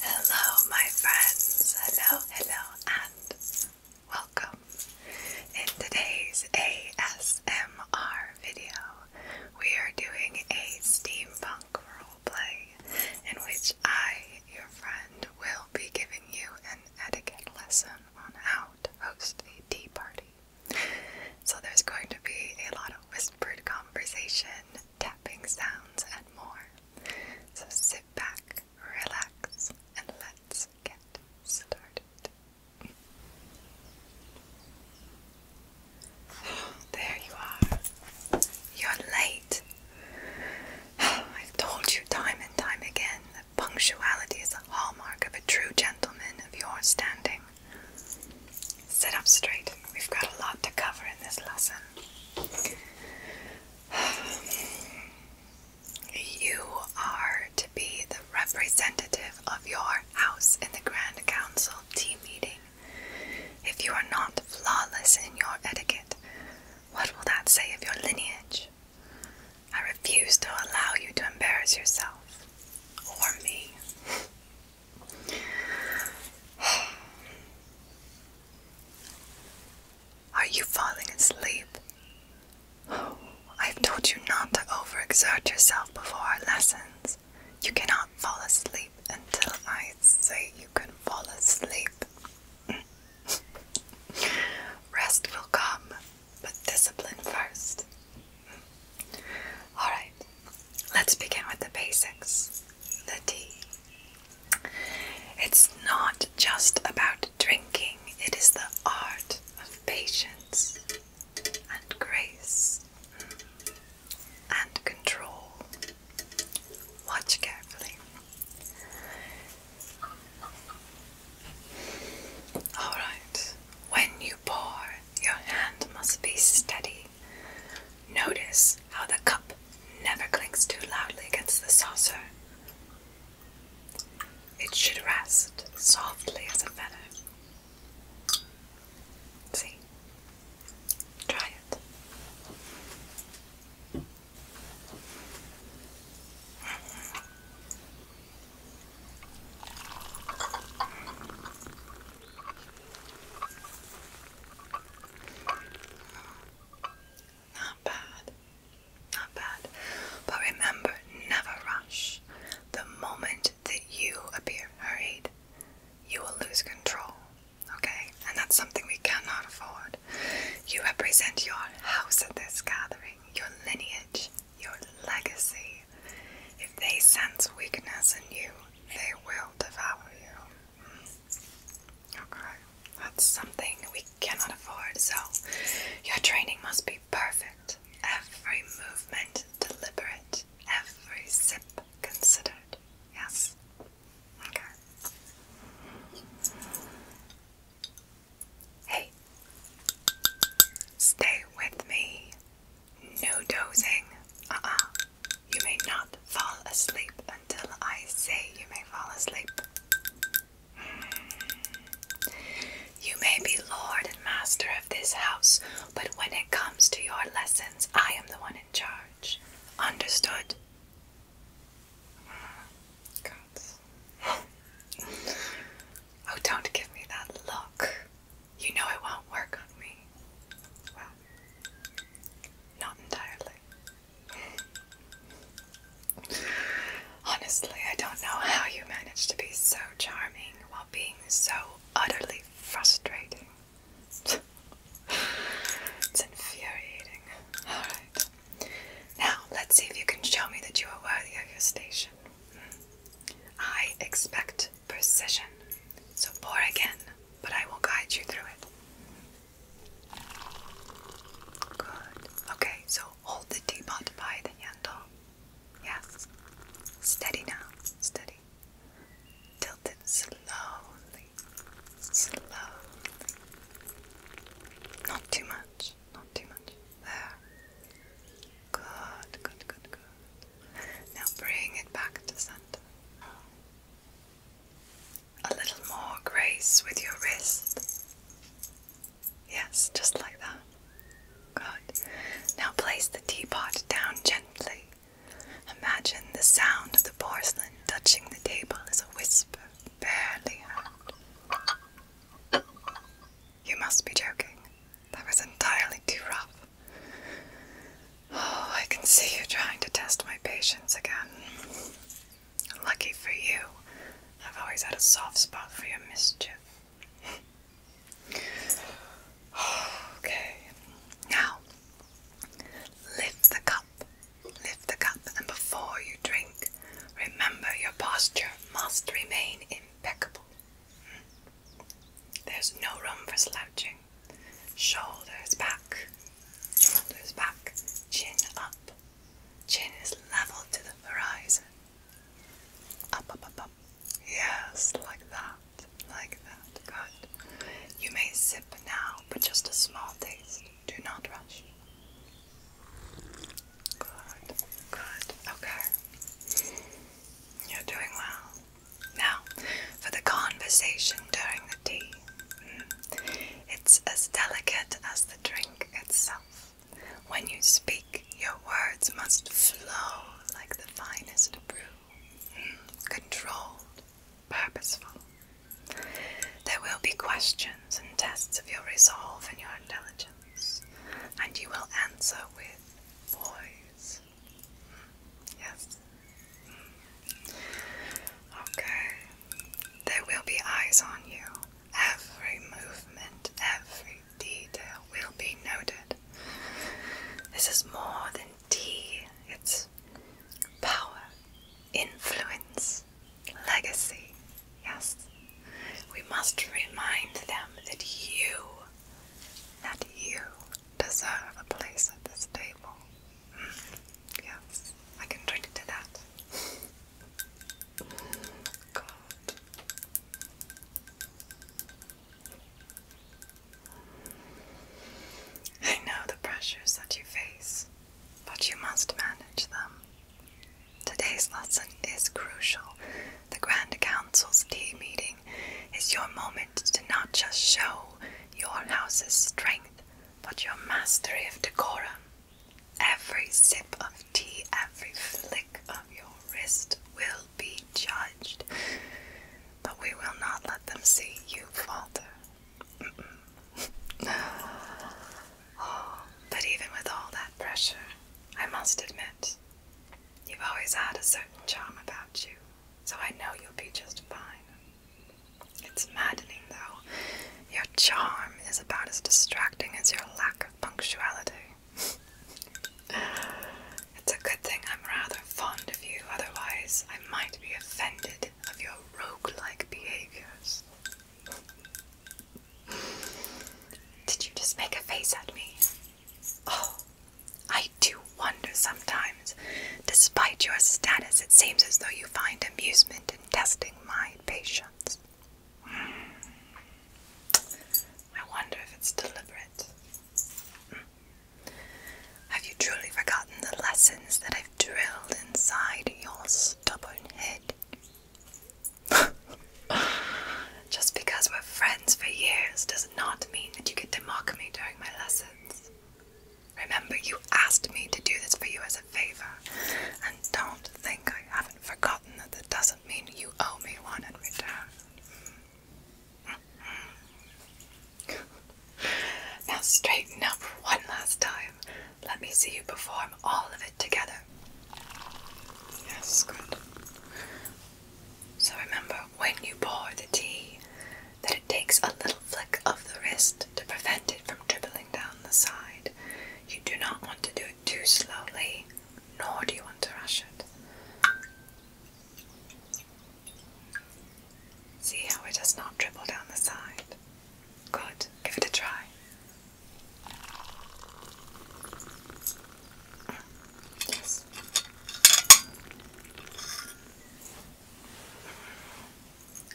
Hello, my friends. Hello, hello, and welcome. In today's ASMR video, we are doing a steampunk roleplay in which I, your friend, will be giving you an etiquette lesson on how to host a tea party. So there's going to be a lot of whispered conversation, tapping sounds, and more. So sit back, relax, and let's get started. there you are. You're late. I've told you time and time again that punctuality is a hallmark of a true gentleman of your standing. Sit up straight. We've got a lot to cover in this lesson. You are to be the representative of your house in the Grand Council tea meeting. If you are not flawless in your etiquette, what will that say of your lineage? I refuse to allow you to embarrass yourself or me. Are you falling asleep? I've told you not to overexert yourself before our lessons. You cannot fall asleep until I say you can fall asleep. Rest will come, but discipline first. Alright, let's begin with the basics the tea. It's not just about drinking, it is the art of patience and grace and control. Watch carefully. Alright, when you pour, your hand must be steady. Notice how the cup never clinks too loudly against the saucer. It should rest softly as a feather. See? Try it. Not bad. Not bad. But remember, never rush. The moment that you appear hurried, you will lose control. Okay? And that's something we cannot afford. You represent your house at this gathering, your lineage, your legacy. If they sense weakness in you, they will devour you. Hmm. Okay, that's something we cannot afford, so your training must be perfect. Every movement deliberate, every sip considered. Yes? Okay. Hey, stay with me. No dozing. Uh uh. You may not fall asleep until I say you may fall asleep. Hmm. You may be lord and master of this house, but when it comes to your lessons, I am the one in charge. Understood? Mm. God oh, don't give me that look. You know it won't work on me. Well, not entirely. Honestly, I don't know how you manage to be so charming while being so utterly frustrating. it's infuriating. Alright. Now, let's see if you can show me that you are worthy of your station. I expect precision, so pour again, but I will guide you through it. Good. Okay, so hold the teapot by the handle. Yes. Steady now. Steady. Tilt it slowly. Slowly. Not too much. Not too much. There. Good, good, good, good. Now bring it back to center. A little more grace with your wrist. Yes, just like that. Good. Now place the teapot down gently. Imagine the sound of the porcelain touching the table as a whisper, barely heard. You must be joking. That was entirely too rough. Oh, I can see you trying to test my patience again. Lucky for you, I've always had a soft spot for your mischief. okay, now lift the cup Lift the cup, and before you drink, remember your posture must remain impeccable. There's no room for slouching. Shoulders back, shoulders back, chin up. Chin is level to the horizon. Up, up, up, up. Yes, like that, like that. Good. You may sip now, but just a small taste. Do not rush. Good, good, okay. You're doing well. Now, for the conversation during the tea. Hmm. It's as delicate as the drink itself. When you speak, your words must flow like the finest brew, hmm. controlled, purposeful, there will be questions and tests of your resolve and your intelligence, and you will answer with voice. Yes. Okay. There will be eyes on you. Every movement, every detail will be noted. This is more than tea, it's power, influence, legacy. Yes. We must remind them that you, that you deserve a place at this table. Mm. Yes, I can drink to that. God. I know the pressures that you face but you must manage them. Today's lesson is crucial. The Grand Council's tea meeting is your moment to not just show your house's strength, but your mastery of decorum. Every sip of tea, every flick of your wrist will be judged, but we will not let them see you falter but even with all that pressure, I must admit, you've always had a certain charm about you, so I know you'll be just fine. It's maddening, though. Your charm is about as distracting as your lack of punctuality. it's a good thing I'm rather fond of you, otherwise, I might be offended of your rogue-like behaviors. Did you just make a face at me? Oh, I do wonder sometimes. Despite your status, it seems as though you find amusement in testing my patience. Hmm. I wonder if it's deliberate. Hmm. Have you truly forgotten the lessons that I've drilled inside your stubborn head? Just because we're friends for years does not mean that you get to mock me during my lessons. Remember, you asked me to do this for you as a favor, and don't think I haven't forgotten that that doesn't mean you owe me one in return. Hmm now straighten up one last time. Let me see you perform all of it together. Yes, good. So remember when you pour the tea that it takes a little flick of the wrist to prevent it from dribbling down the side. You do not want to do it too slowly, nor do you want to rush it. See how it does not dribble down the side. Good, give it a try. Yes.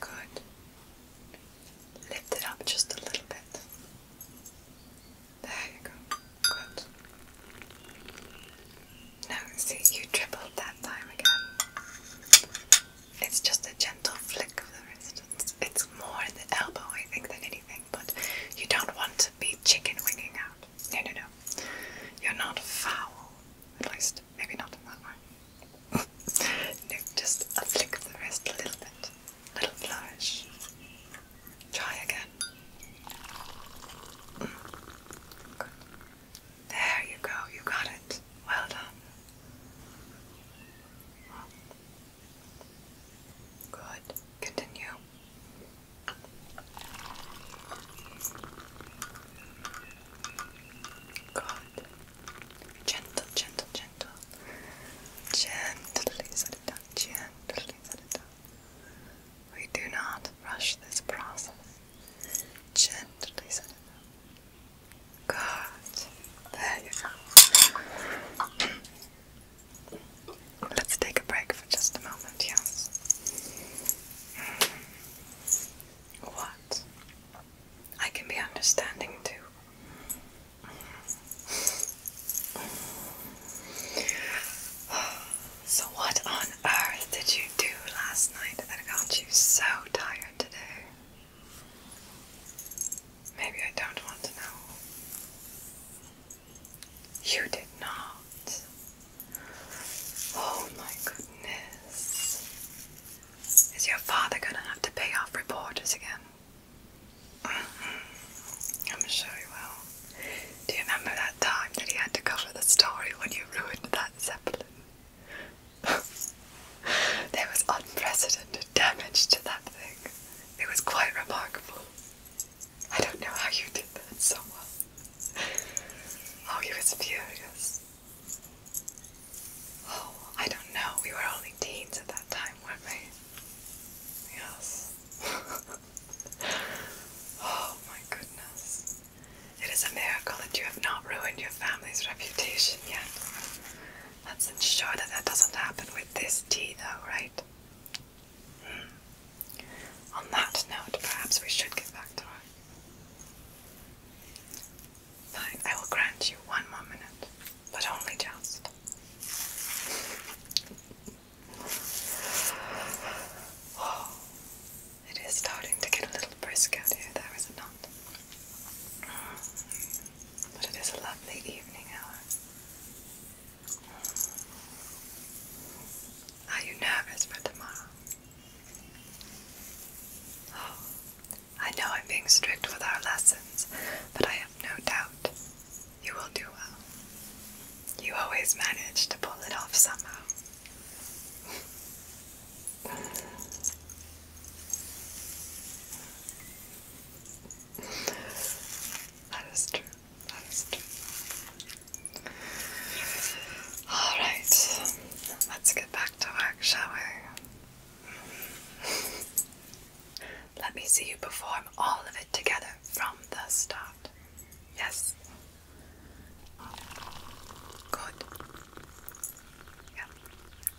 Good. Lift it up just a little bit. There you go. Good. No, see, you tripled that time again. It's just a gentle flick of the wrist. It's more in the elbow, I think, than anything, but you don't want to be chicken winging out. No, no, no. You're not foul. At least, maybe not in that one. no, just a flick of the wrist, a little bit. little flourish. Try again. Mm. There you go, you got it. Well done. Good. Continue. Good. Gentle, gentle, gentle. Gently set it down. Gently set it down. We do not rush this process. Gently set it up. Good. There you go. Let's take a break for just a moment, yes. Hmm. What? I can be understanding too. So, what on earth did you do last night that got you so tired today? Maybe I don't want to know. You did not. Oh my goodness. Is your father gonna have to pay off reporters again? Mm-hmm. I'm sure he will. Do you remember that time that he had to cover the story when you ruined that Zeppelin? there was unprecedented damage to that thing. It was quite remarkable. I don't know how you did that so well. Oh, he was furious. Oh, I don't know. We were only teens at that time, weren't we? Yes. oh my goodness. It is a miracle that you have not ruined your family's reputation yet. Let's ensure that that doesn't happen with this tea, though, right? Hmm. On that note, perhaps we should get back to work. Fine, I will grant you one more minute, but only just. it is starting to get a little brisk out here, there is a not? But it is a lovely evening hour. Are you nervous for tomorrow? Oh, I know I'm being strict with our lessons, but I have no doubt you will do well. You always manage to pull it off somehow. that is true. That is true. Alright, let's get back to work, shall we? Let me see you perform all of it together from the start. Yes? Good. Yeah.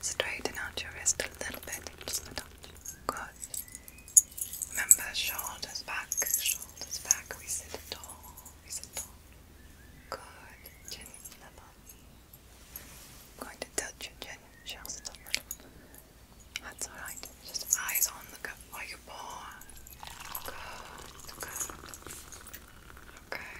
Straighten out your wrist a little bit. Just a touch. Good. Remember, shoulders back, shoulders back. We sit tall, we sit tall. Good. Chin level. I'm going to touch your chin just a that's alright. Just eyes on the cup while oh, you pour. Good, Okay.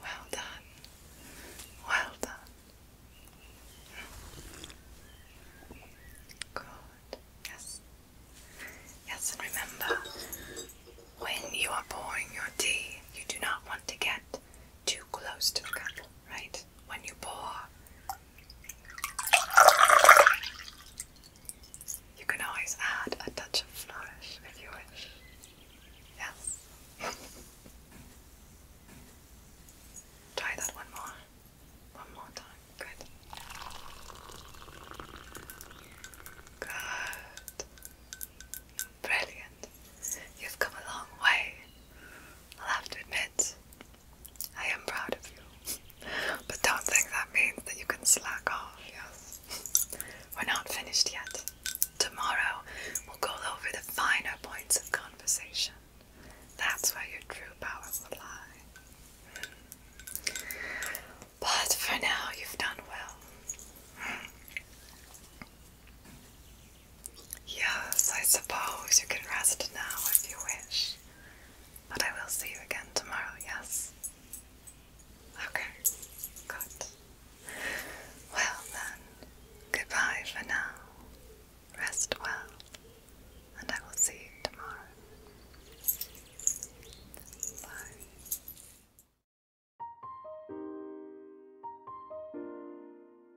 Well done. Well done. Good. Yes. Yes, and remember, when you are pouring your tea, you do not want to get too close to the cup, right? when you pour. You can always add a touch of flourish if you wish. Yes. Try that one more. One more time. Good. Good. Brilliant. You've come a long way. I'll have to admit, I am proud of you. but don't think that means that you can slack off, yes? We're not finished yet. Tomorrow, we'll go over the finer points of conversation. That's where your true power will lie. But for now, you've done well. Yes, I suppose you can rest now if you wish. But I will see you again tomorrow, yes? Okay, good. Well then, goodbye for now. Rest well, and I will see you tomorrow. Bye.